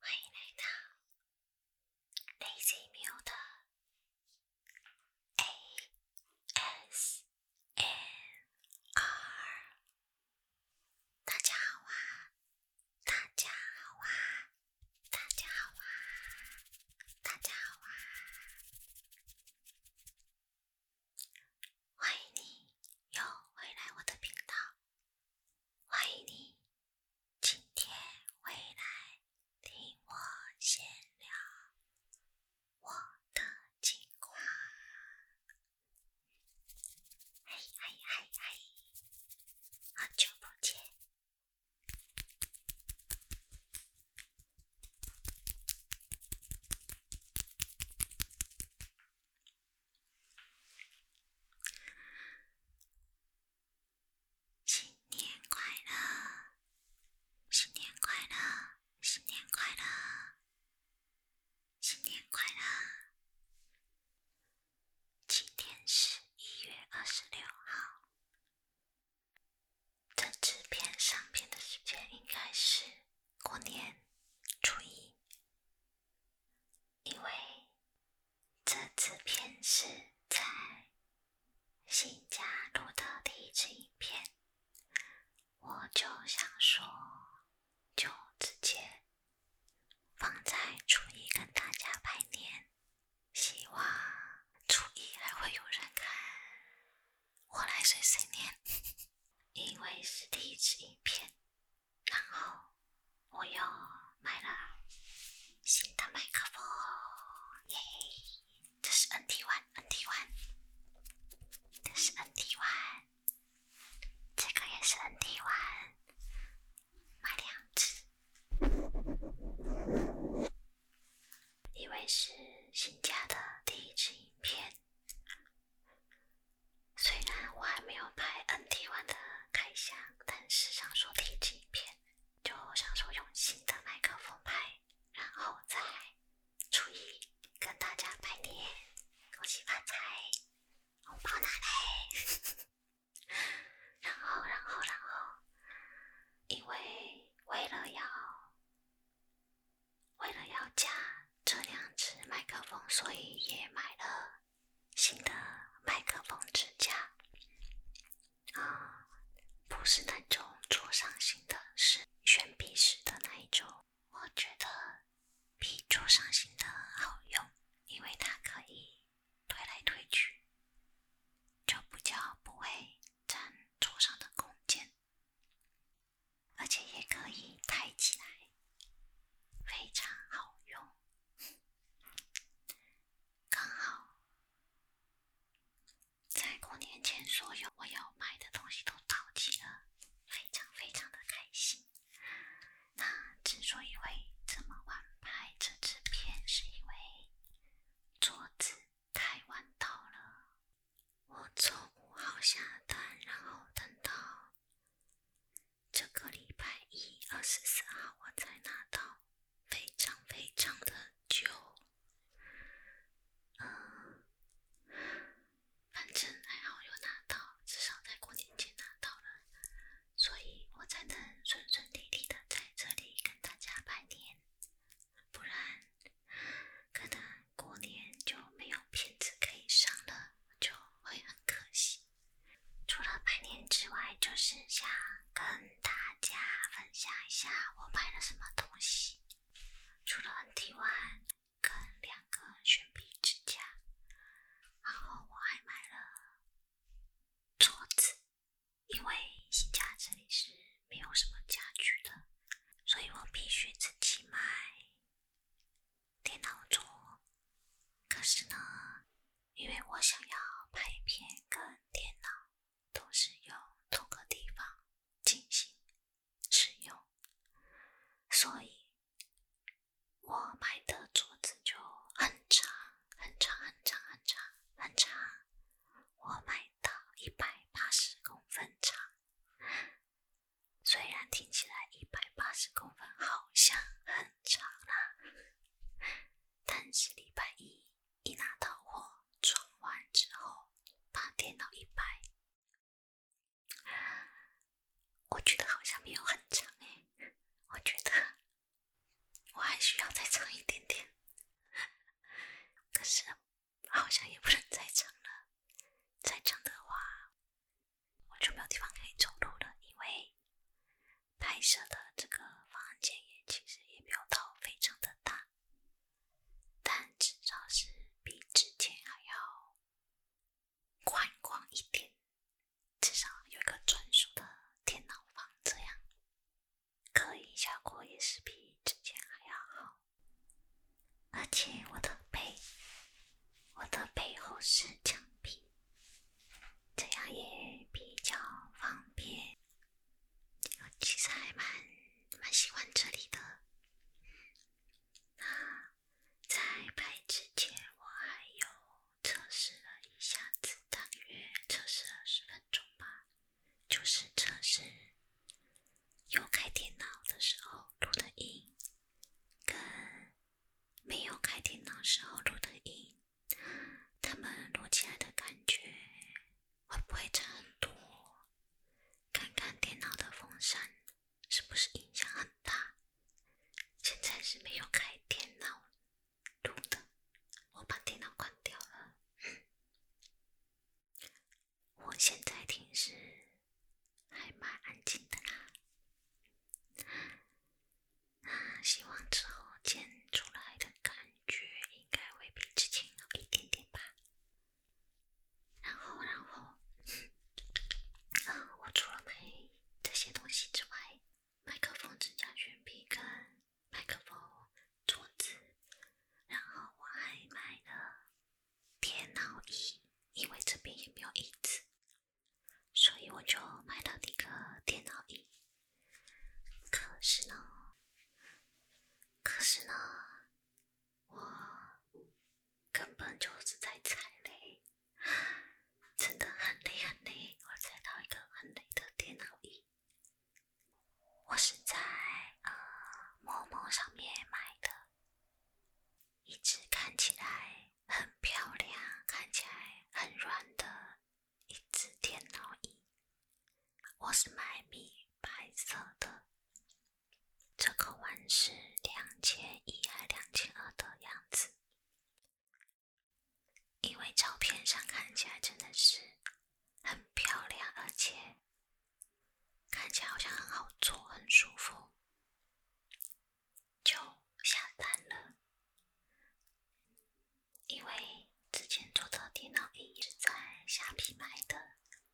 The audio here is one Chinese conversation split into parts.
欢迎来到 Lazy 喵的 A S m R。大家好啊！大家好啊！大家好啊！大家好啊！欢迎你又回来我的频道，欢迎你今天回来听我闲聊我的计划，嗨嗨嗨嗨，好久不见。新年快乐！新年快乐！新年快乐！新年快乐！今天是一月二十六号。这纸片上片的时间应该是过年初一，因为这次片是在新家录的第一次影片，我就想说，就直接放在初一跟大家拜年。希望初一还会有人看，我来碎碎念，因为是第一支影片。然后我又买了新的麦克风耶！这是 n t o n e n t One，这是 n t One，这个也是 n t One，买两只。因为是新家的第一支影片，虽然我还没有拍 n t One 的开箱，但是想说第一支影片，就想说用新的麦克风拍，然后再，初一跟大家拜年，恭喜发财，红包拿来，然后然后然后，因为。为了要为了要加这两只麦克风，所以也买了新的麦克风支架。啊，不是那种桌上型的，是悬臂式的那一种。我觉得比桌上型的好用，因为它可以。推来推去，就不叫不会占桌上的空间，而且也可以抬起来，非常好用。刚好在过年前所有我要买的东西都到齐了，非常非常的开心。那之所以会这么晚拍这支片，是因为。桌子太晚到了，我从五号下单，然后等到这个礼拜一二十四号我才拿到，非常非常的久，嗯，反正还好有拿到，至少在过年前拿到了。所以我才能顺顺利利的在这里跟大家拜年，不然可能过年就没有片子可以上了，就会很可惜。除了拜年之外，就是想跟大家分享一下我买了什么东西。除了 N D One，跟两个悬臂支架，然后我还买了桌子。因为新家这里是没有什么家具的，所以我必须自己买电脑桌。可是呢，因为我想要拍片跟电脑都是用同个地方进行使用，所以我买的桌子就很长。很长很长很长很长，我买的一百八十公分长，虽然听起来一百八十公分好像很长啦，但是礼拜一一拿到货装完之后把电脑一摆，我觉得好像没有很长哎，我觉得。我还需要再长一点点，可是好像也不能再长了。再长的话，我就没有地方可以走路了，因为拍摄的这个房间也其实也没有到非常的大，但至少是比之前还要宽广一点。至少有一个专属的电脑房，这样隔音效果也是比之前还要好。而且我的背，我的背后是墙壁，这样也比较方便。我其实还蛮蛮喜欢这里的。那在拍之前，我还有。测试了一下子，大约测试了十分钟吧。就是测试有开电脑的时候录的音，跟没有开电脑时候录的音，他们录起来的感觉会不会差很多？看看电脑的风扇是不是影响很大？现在是没有开电脑。录的，我把电脑关掉了。我现在听是还蛮安静的啦，那希望之后剪出来的感觉应该会比之前好一点点吧。然后，然后，我除了拍这些东西之外。麦克风支架、悬臂跟麦克风、桌子，然后我还买了电脑椅，因为这边也没有椅子，所以我就买了一个电脑椅。可是呢，可是呢，我根本就是在踩雷。真的很累很累，我在到一个很累的电脑椅，我是在呃某陌上面买的，一只看起来很漂亮、看起来很软的一只电脑椅，我是买米白色的，这个碗是两千一还两千二的样子。因为照片上看起来真的是很漂亮，而且看起来好像很好做，很舒服，就下单了。因为之前做的电脑椅是在虾皮买的，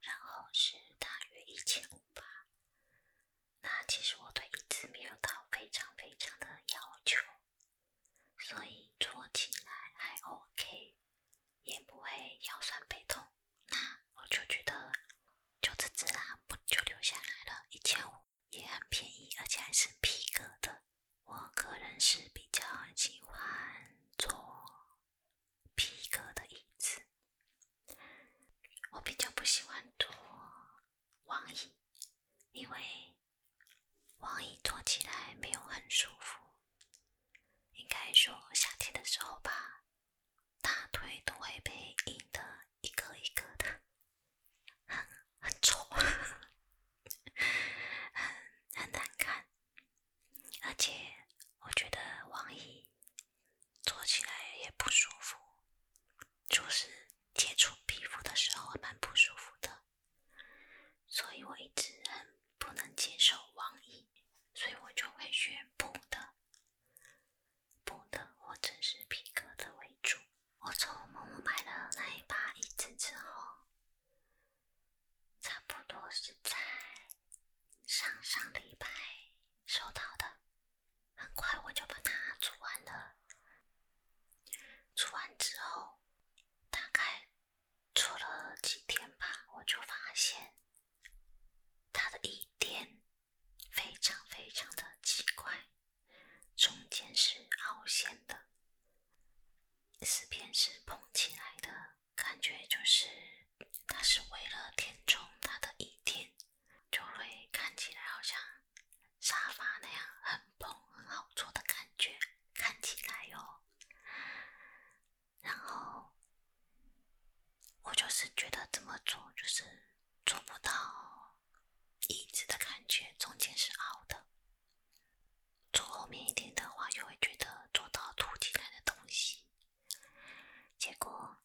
然后是大约一千五吧。那其实我对椅子没有到非常非常的要求，所以坐起来还 OK，也不会腰酸背痛。那我就觉得就这只啦，不就留下来了一千五，也很便宜，而且还是皮革的。我个人是比较喜欢坐皮革的椅子，我比较不喜欢坐。网易，因为网易坐起来没有很舒服，应该说夏天的时候吧，大腿都会被硬得一个一个的，很很丑，很很难看，而且我觉得网易坐起来也不舒服。就是接触皮肤的时候蛮不舒服的，所以我一直很不能接受网易，所以我就会选布的、布的或者是皮革的为主。我从某某买了那一把椅子之后，差不多是在上上礼拜收到的。很快我就把它煮完了，煮完之后，大概煮了几天吧，我就发现它的一点非常非常的奇怪，中间是凹陷的，四边是蓬起来的，感觉就是它是为了填充它的一点。就会看起来好像沙发那样很蓬很好坐的感觉，看起来哟。然后我就是觉得这么做就是做不到椅子的感觉，中间是凹的。坐后面一点的话，就会觉得坐到凸起来的东西。结果。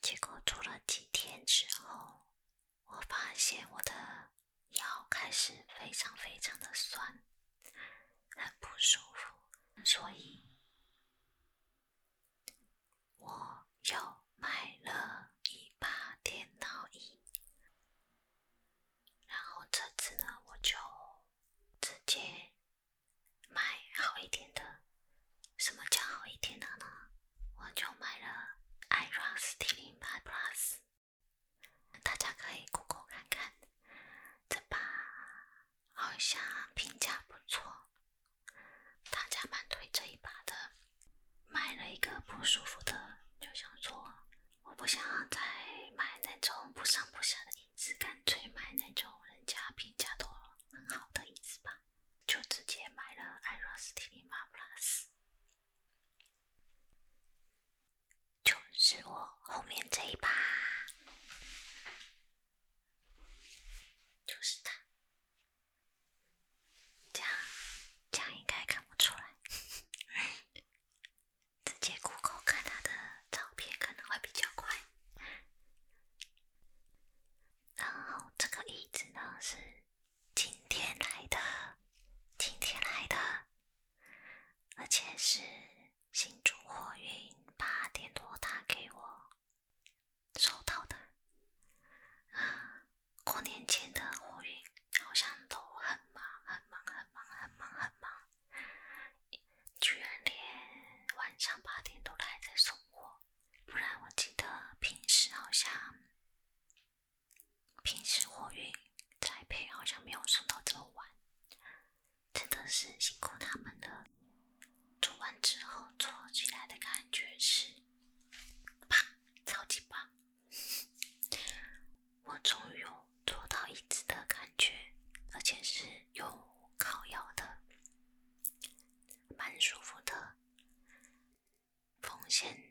结果做了几天之后，我发现我的腰开始非常非常的酸，很不舒服，所以我又买了一把电脑椅。然后这次呢，我就直接买好一点的。什么叫好一点的呢？我就买了 Iron s t 零八8 Plus，大家可以 Google 看看，这把好像评价不错，大家蛮推这一把的。买了一个不舒服的，就想说，我不想再买那种不上不下的椅子，干脆买那种人家评价都很好的椅子吧。就直接买了 iRose T1 Plus，就是我后面这一把，就是它，这样这样应该看不出来，直接 Google 看它的照片可能会比较快。然后这个椅子呢是今天来的，今天来的，而且是新竹货运八点多打给我收到的啊！过年前的货运好像都很忙，很忙，很忙，很忙，很忙，居然连晚上八点多还在送货。不然我记得平时好像，平时货运栽培好像没有送到这么晚，真的是辛苦他们了。做完之后做起来的感觉是，棒，超级棒！我终于有坐到椅子的感觉，而且是有靠腰的。蛮舒服的，缝线、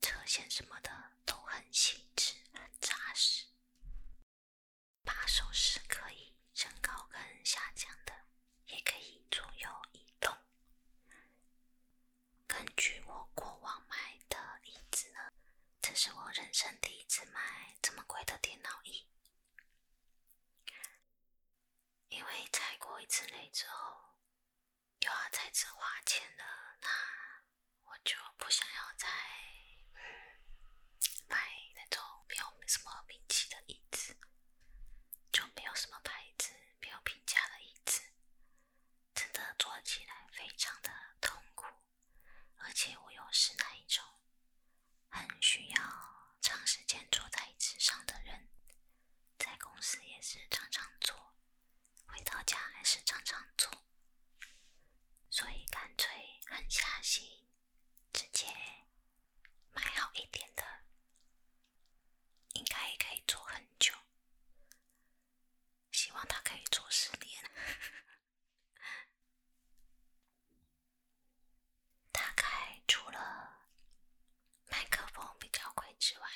车线什么的都很细致、很扎实。把手是可以增高跟下降的，也可以左右移动。根据我过往买的椅子呢，这是我人生第一次买这么贵的电脑椅。因为踩过一次雷之后，又要再次花钱了，那我就不想要再买那种没有什么名气的椅子，就没有什么牌子、没有评价的椅子，真的坐起来非常的痛苦，而且我又是那一种。很需要长时间坐在椅子上的人，在公司也是常常坐，回到家还是常常坐，所以干脆狠下心，直接买好一点的，应该也可以坐很久。希望他可以坐十年。大概除了麦克风比较贵之外，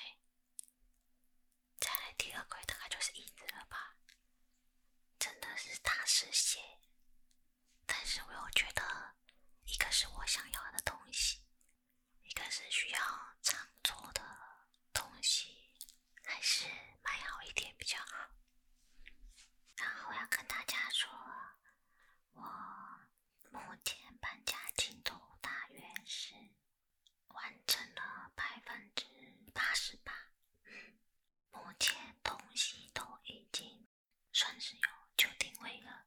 再来第二贵大概就是椅子了吧，真的是大师鞋。但是我又觉得，一个是我想要的东西，一个是需要常坐的东西，还是买好一点比较好。然后我要跟大家说。我目前搬家进度大约是完成了百分之八十八，目前东西都已经算是有就定位了，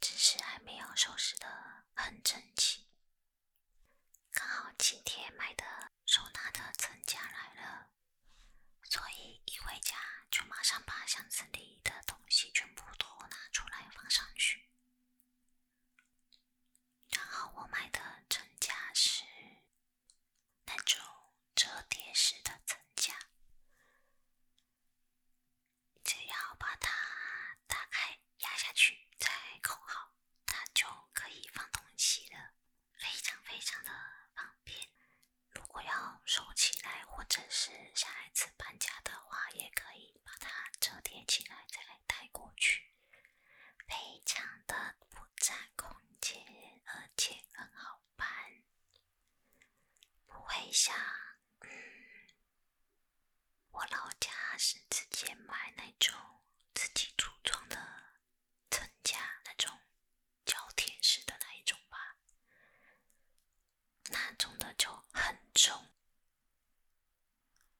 只是还没有收拾的很整齐。刚好今天买的收纳的增加来了。所以一回家就马上把箱子里的东西全部都拿出来放上去。然后我买的层架是那种折叠式的层架，只要把它打开压下去再扣好，它就可以放东西了，非常非常的方便。如果要收起来，或者是下一次搬家的话，也可以把它折叠起来再来带过去，非常的不占空间，而且很好搬，不会像我老家是直接买那种自己组装的。增加那种胶贴式的那一种吧，那种的就很重，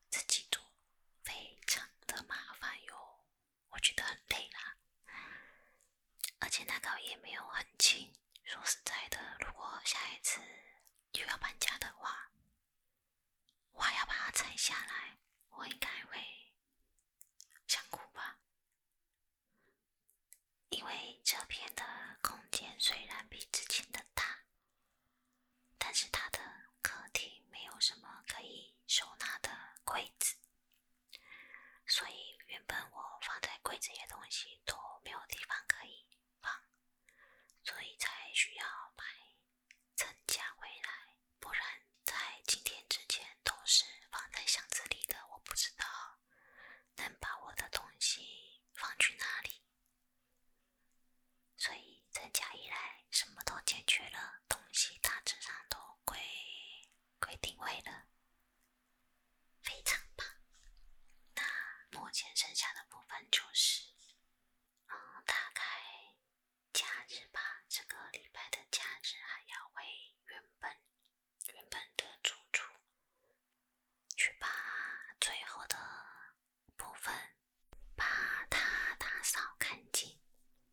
这几做非常的麻烦哟，我觉得很累啦。而且那个也没有很轻。说实在的，如果下一次又要搬家的话，我还要把它拆下来，我应该会想哭吧，因为这边的空间虽然比之前的大，但是它的客厅没有什么可以收纳的柜子，所以原本我放在柜子里的东西都没有地方可以放，所以才需要买增加回来。不然在今天之前都是放在箱子里的，我不知道能把我的东西放去哪里。所以在家以来什么都解决了，东西大致上都归归定位了，非常棒。那目前剩下的部分就是，嗯，大概。假日吧，这个礼拜的假日还要回原本原本的住处，去把最后的部分把它打扫干净，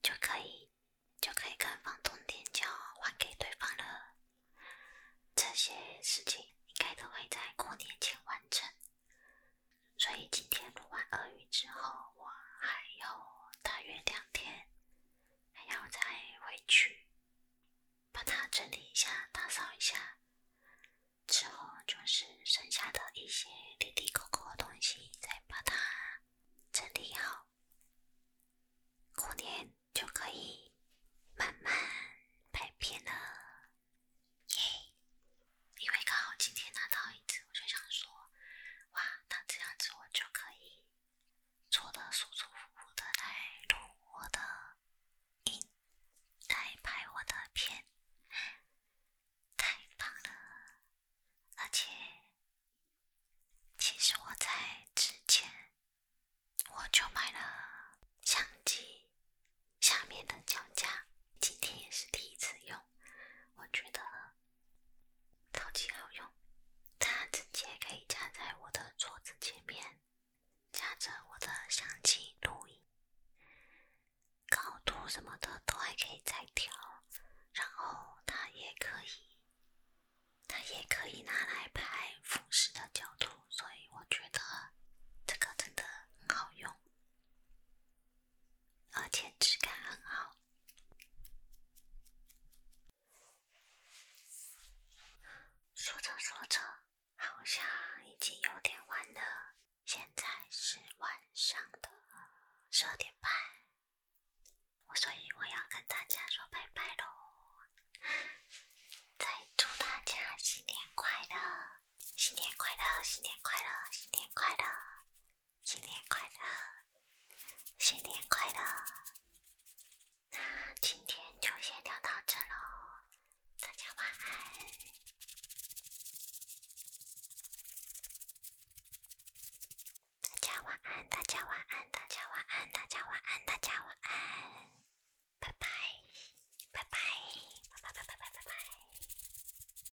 就可以就可以跟房东天交还给对方了。这些事情应该都会在过年前完成，所以今天录完俄语之后，我还要打月亮。天还要再回去把它整理一下、打扫一下，之后就是剩下的一些里里勾勾的东西再把它整理好，过年就可以慢慢拍片了。耶！因为刚好今天拿到一只，我就想说。哇，那这样子我就可以坐的舒舒服服的来录我的音，来拍我的片，太棒了！而且，其实我在之前我就买了相机下面的脚架，今天也是第一次用，我觉得。超级好用，它直接可以夹在我的桌子前面，夹着我的相机录音，高度什么的都还可以再调，然后它也可以，它也可以拿来拍俯视的角度，所以我觉得这个真的很好用。而且质感很好。说着说着，好像已经有点晚了，现在是晚上的十二点半，所以我要跟大家说拜拜喽！再祝大家新年快乐，新年快乐，新年快乐，新年快乐！新年快乐，新年快乐！那今天就先聊到这喽，大家晚安！大家晚安，大家晚安，大家晚安，大家晚安，大家晚安，拜拜，拜拜，拜拜拜拜拜拜拜。